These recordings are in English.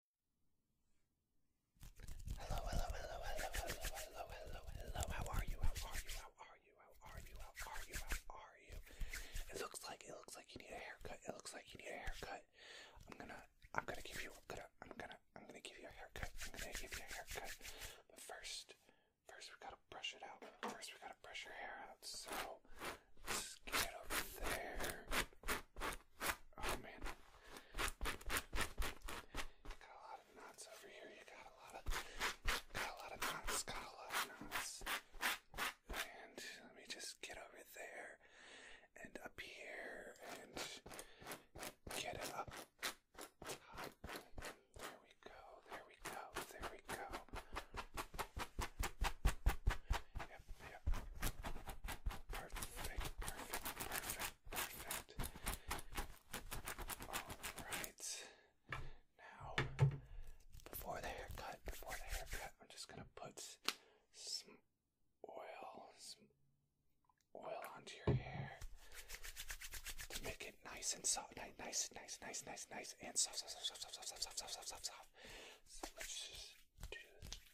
Hello, hello, hello, hello, hello, hello, hello, hello. How are you? How are you? How are you? How are you? How are you? How are you? It looks like it looks like you need a haircut. It looks like you need a haircut. I'm gonna I'm gonna give you I'm gonna I'm gonna I'm gonna give you a haircut. I'm gonna give you a haircut. But first first we gotta brush it out. First we gotta brush your hair out. So just get over there. Oh man. Got a lot of knots over here. You got a lot of got a lot of knots, got a lot of knots. And let me just get over there and up here and get it up. There we go, there we go, there we go. Perfect, perfect, perfect, perfect. Alright. Now, before the haircut, before the haircut, I'm just gonna put some oil, some oil onto your hair to make it nice and soft, nice, nice, nice, nice, nice, and soft, soft, soft, soft, soft, soft, soft, soft, soft, soft, soft, do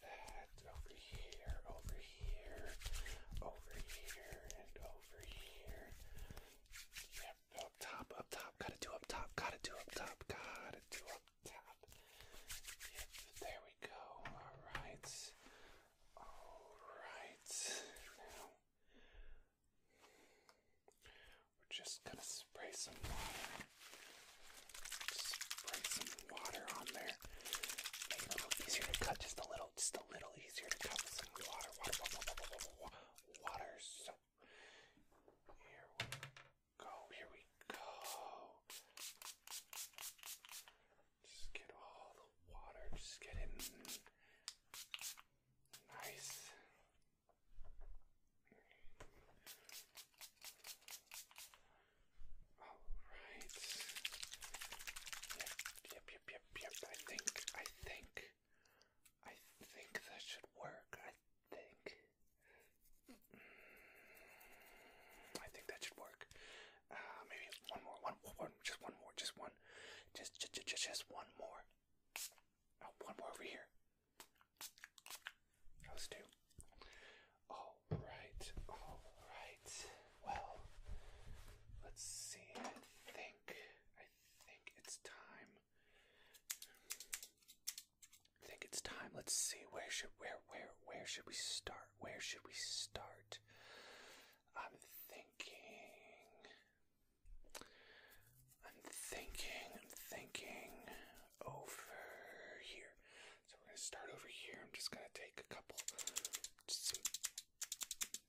that over here, over here, over here, and over here. up top, up top, gotta do up top, gotta do up top, gotta do up top. there we go. Alright. Alright. Now we're just gonna spray some water Spray some water on there. Make it a little easier to cut, just a little, just a little easier to cut with some water, water, water, water, water, water. So here we go, here we go. Just get all the water, just get in. Nice. Alright. Yep, yep, yep, yep, yep. I think, I think, I think that should work. I think. Mm, I think that should work. Uh, maybe one more, one, one, just one more, just one, just, just, just, just one more. Oh, one more over here. Those two. All right, all right. Well, let's see. I think, I think it's time. I think it's time. Let's see. Where should where where where should we start? Where should we start? I'm thinking. I'm thinking. I'm thinking over here. So we're gonna start over here. I'm just gonna take a couple, just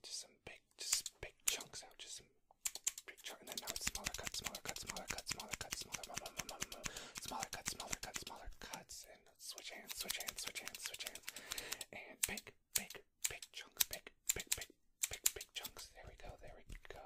some, big, just big chunks out, just some big chunks, and then now it's smaller cuts, smaller cuts, smaller cuts, smaller cuts, smaller, smaller cuts, smaller cuts, smaller cuts, and switch hands, switch hands, switch hands, switch hands, and big, big, big chunks, big, big, big, big, big chunks. There we go, there we go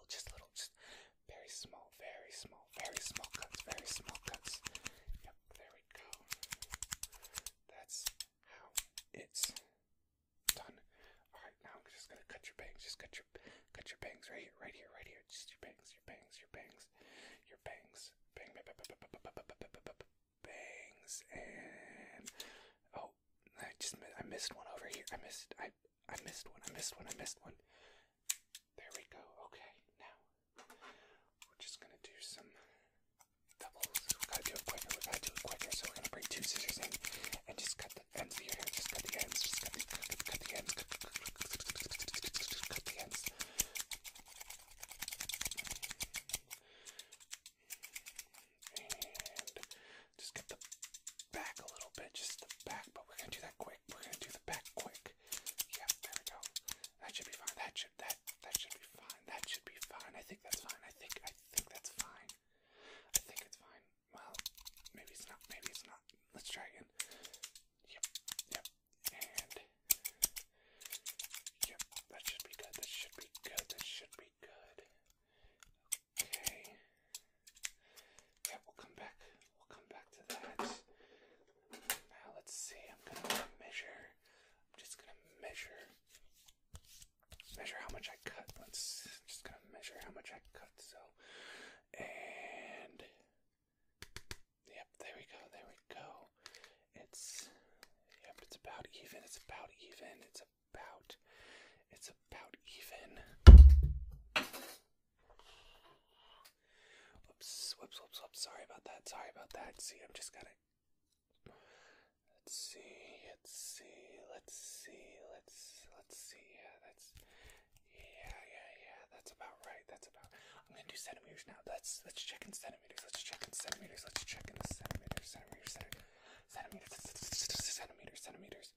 just little, just very small, very small, very small cuts, very small cuts. Yep, there we go. That's how it's done. All right, now I'm just gonna cut your bangs. Just cut your, cut your bangs right here, right here, right here. Just your bangs, your bangs, your bangs, your bangs, bangs and oh, I just I missed one over here. I missed I I missed one, I missed one, I missed one. There we go. Okay, now we're just gonna do some doubles. We got quicker, we got quicker. So we're gonna bring two scissors in and just cut the ends of Just cut the ends, just cut the, cut, cut the ends, cut the ends and just get the back a little bit, just the back, but we're gonna do that quick. We're gonna do the back quick. Yeah, there we go. That should be fine. That should that that should be fine. That should be fine. I think that's fine. I think I think that's fine. I think it's fine. Well, maybe it's not. Maybe it's not. Let's try again. Yep. Yep. And yep. That should be good. That should be good. That should be good. Okay. Yeah, we'll come back. We'll come back to that. Now let's see. I'm gonna measure. I'm just gonna measure. Measure how much I cut. Let's I'm just gonna measure how much I cut. So, and yep, there we go. There we go. It's yep. It's about even. It's about even. It's about it's about even. Whoops, whoops, whoops, Sorry about that. Sorry about that. See, I'm just gonna. Let's see. Let's see. Let's see. Let's let's see. Yeah, that's. Yeah, yeah, yeah. That's about right. That's about. I'm gonna do centimeters now. Let's let's check in centimeters. Let's check in centimeters. Let's check in centimeters. Centimeters. Centimeters centimeters, centimeters, centimeters.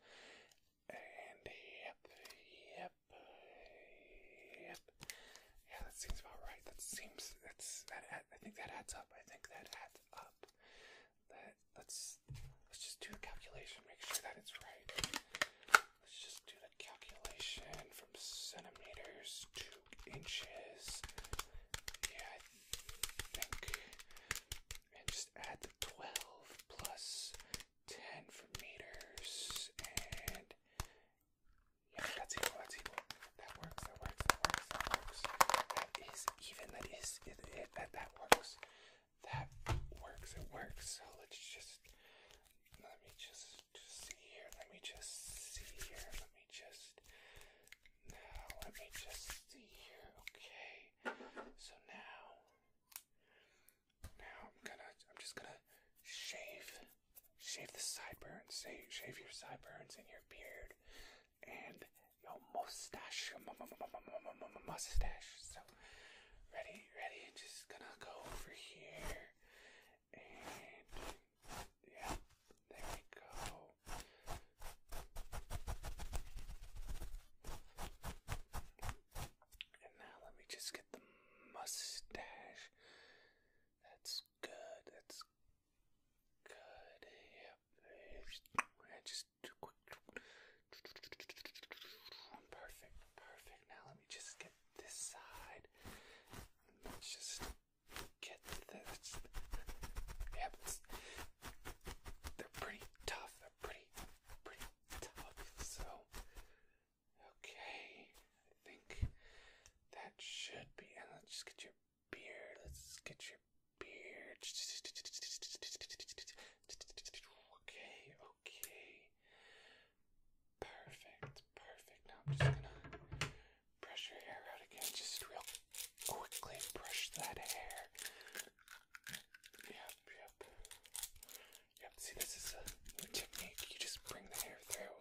And yep, yep, yep. Yeah, that seems about right. That seems that's that. I think that adds up. I think that adds up. That let's let's just do a calculation. Make sure that it's right. Let's just do the calculation from centimeters to inches. Yeah, I think and just add the 12 plus 10 for meters, and yeah, that's equal, that's equal. That works, that works, that works, that works. That is even, that is it, it that, that works. That works, it works. So let's just, let me just, just see here, let me just see here, let me just now, let me just see here. Okay. So now, now I'm gonna, I'm just gonna shave, shave the sideburns, shave, shave your sideburns and your beard and your mustache, your mustache. So, ready, ready. Just gonna go over here and yeah, there we go. And now let me just get the mustache. That's good. That's good. Yep. Perfect. Perfect. Now let me just get this side. Let's just get this. Yep. They're pretty tough. They're pretty, pretty tough. So, okay. I think that should be. let's get your beard. Let's get your beard. Okay, okay. Perfect, perfect. Now I'm just gonna brush your hair out again. Just real quickly brush that hair. Yep, yep. Yep, see, this is a technique. You just bring the hair through,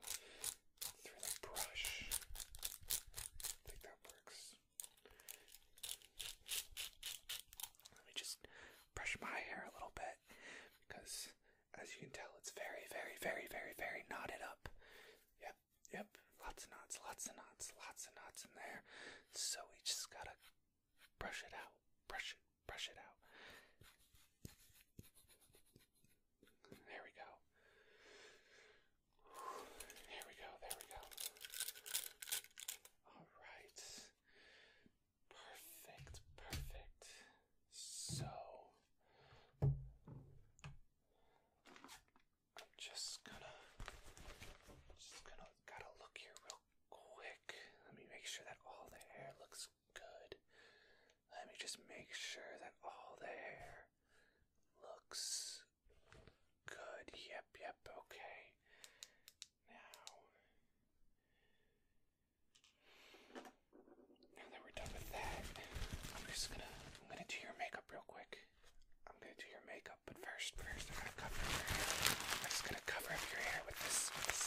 through the brush. I think that works. Let me just brush my hair a little bit because, as you can tell, it's very, very, very, very, very knotted up. Yep, Yep, lots of knots, lots of knots, lots of knots in there. So we just gotta brush it out, brush it, brush it out. There we go. There we go, there we go. Alright. Perfect, perfect. So just gonna just gonna gotta look here real quick. Let me make sure that all the hair looks good. Let me just make sure that all the hair looks good. Yep, yep, okay. Now now that we're done with that, I'm just gonna I'm gonna do your makeup real quick. I'm gonna do your makeup, but first, first I'm gonna cover I'm just gonna cover up your hair with this, this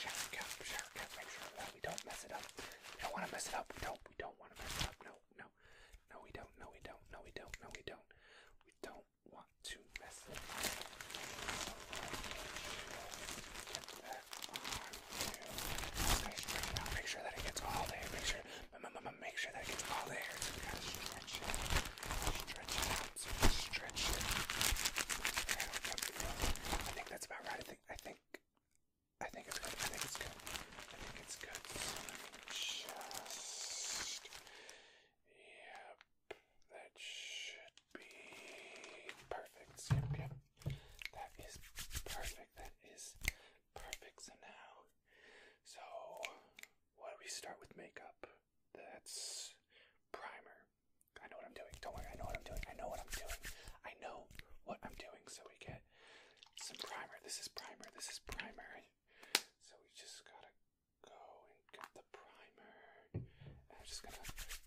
shower cap, shower cap. Make sure that we don't mess it up. We don't want to mess it up. We don't. We don't want to mess it up. No, no, no. We don't. No, we don't. No, we don't. No, we don't. We don't want to mess it up. Make sure that it gets all there. Make sure but make sure that it gets all the air. So you gotta stretch it, stretch it out, so you stretch it. Okay, I think that's about right. I think, I think, I think it's good. I think it's good. I think it's good. So just, yep, that should be perfect. Yep, yep. That is perfect. That is Perfect, so now. So, why do we start with makeup? That's primer. I know what I'm doing. Don't worry, I know what I'm doing. I know what I'm doing. I know what I'm doing. So, we get some primer. This is primer. This is primer. So, we just gotta go and get the primer. And I'm just gonna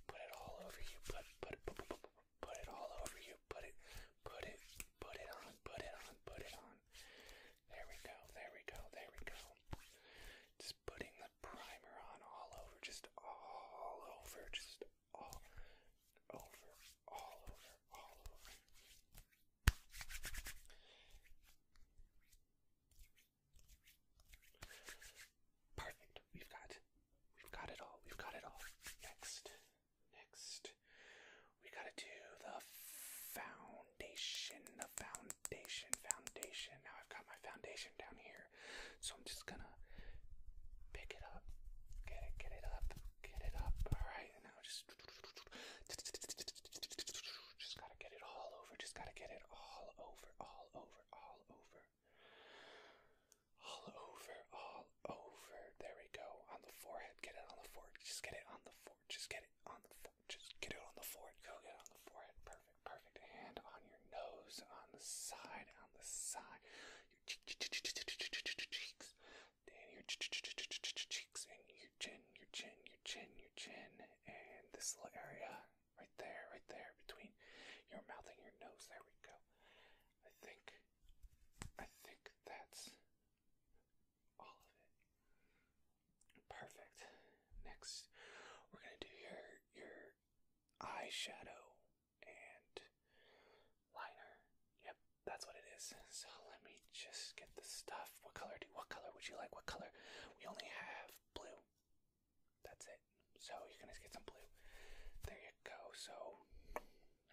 put it all over you. Put, put, put, put, put, Put it all over you. Put it, put it, put it on, put it on, put it on. There we go, there we go, there we go. Just putting the primer on all over, just all over, just all over, all over, all over. Perfect. We've got, we've got it all. We've got it all. Next, Next, we gotta do the foundation, the foundation, foundation. Now I've got my foundation down here, so I'm just gonna pick it up, get it, get it up, get it up. All right, now just, just gotta get it all over. Just gotta get it all over, all over, all over. All over, all over. There we go. On the forehead. Get it on the forehead. Just get it on the forehead. Just get it on the forehead. Just get it on the forehead. Go get it on the forehead. Perfect, perfect. Hand on your nose, on the side, on the side. Your cheeks. And your cheeks and your chin, your chin, your chin, your chin. And this little area right there, right there, between your mouth and your nose. There we go. I think I think that's all of it. Perfect. Next, we're gonna do your your eyeshadow and liner. Yep, that's what it is. So let me just get the stuff. What color do? What color would you like? What color? We only have blue. That's it. So you're gonna get some blue. There you go. So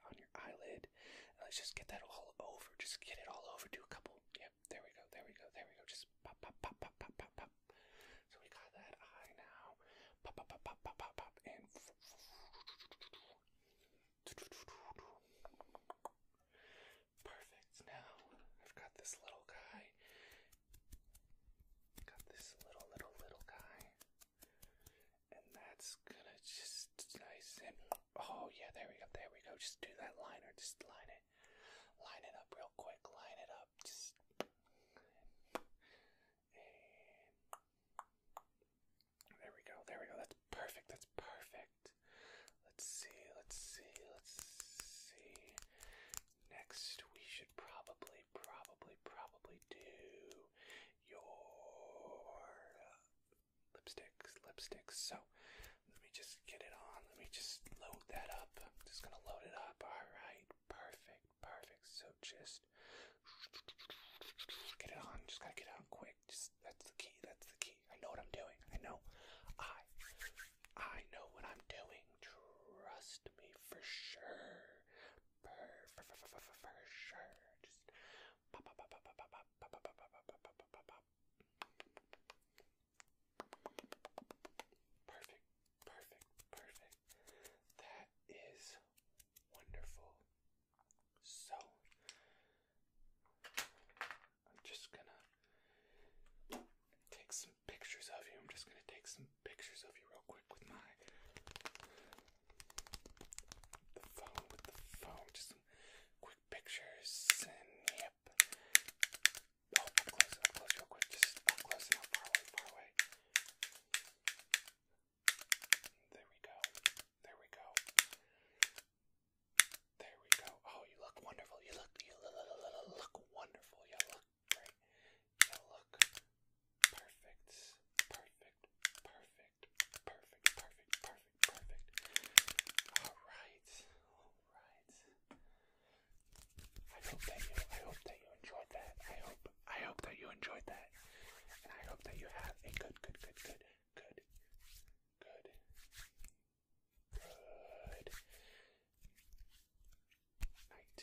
on your eyelid. And let's just get that all over. Just get it all over. Do a couple. Yep. there we go. There we go. There we go. Just pop, pop, pop, pop, pop, pop, pop. So we got that eye now. Pop, pop, pop, pop, pop, pop, pop, and. Perfect. Now I've got this little guy. Got this little, little, little guy. And that's gonna just nice and oh yeah, there we go, there we go. Just do that liner, just line it, line it up real quick, line it up, just there we go, there we go. That's perfect, that's perfect. Let's see, let's see, let's see. Next, we should probably, probably, probably do your lipsticks, lipsticks. So let me just get it on. Let me just load that up. just gonna load it up. All right, perfect, perfect. So just get it on. Just gotta get on quick. Just that's the key. That's the key. I know what I'm doing. I know. I I know what I'm doing. Trust me for sure for, sure. Just Perfect, perfect, perfect. That is wonderful. So, I'm just gonna take some pictures of you. I'm just gonna take some pictures of you real quick with my the phone with the phone, just quick pictures, yep. Oh, close, close, real quick, just close and up far away, far away. There we go, there we go, there we go. Oh, you look wonderful, you look, you look, look wonderful, you look great. Now look. Perfect. Perfect. Perfect. Perfect. Perfect. Perfect. Perfect. Alright. Alright. I hope that you I hope that you enjoyed that. I hope I hope that you enjoyed that. And I hope that you have a good, good, good, good, good, good, good night.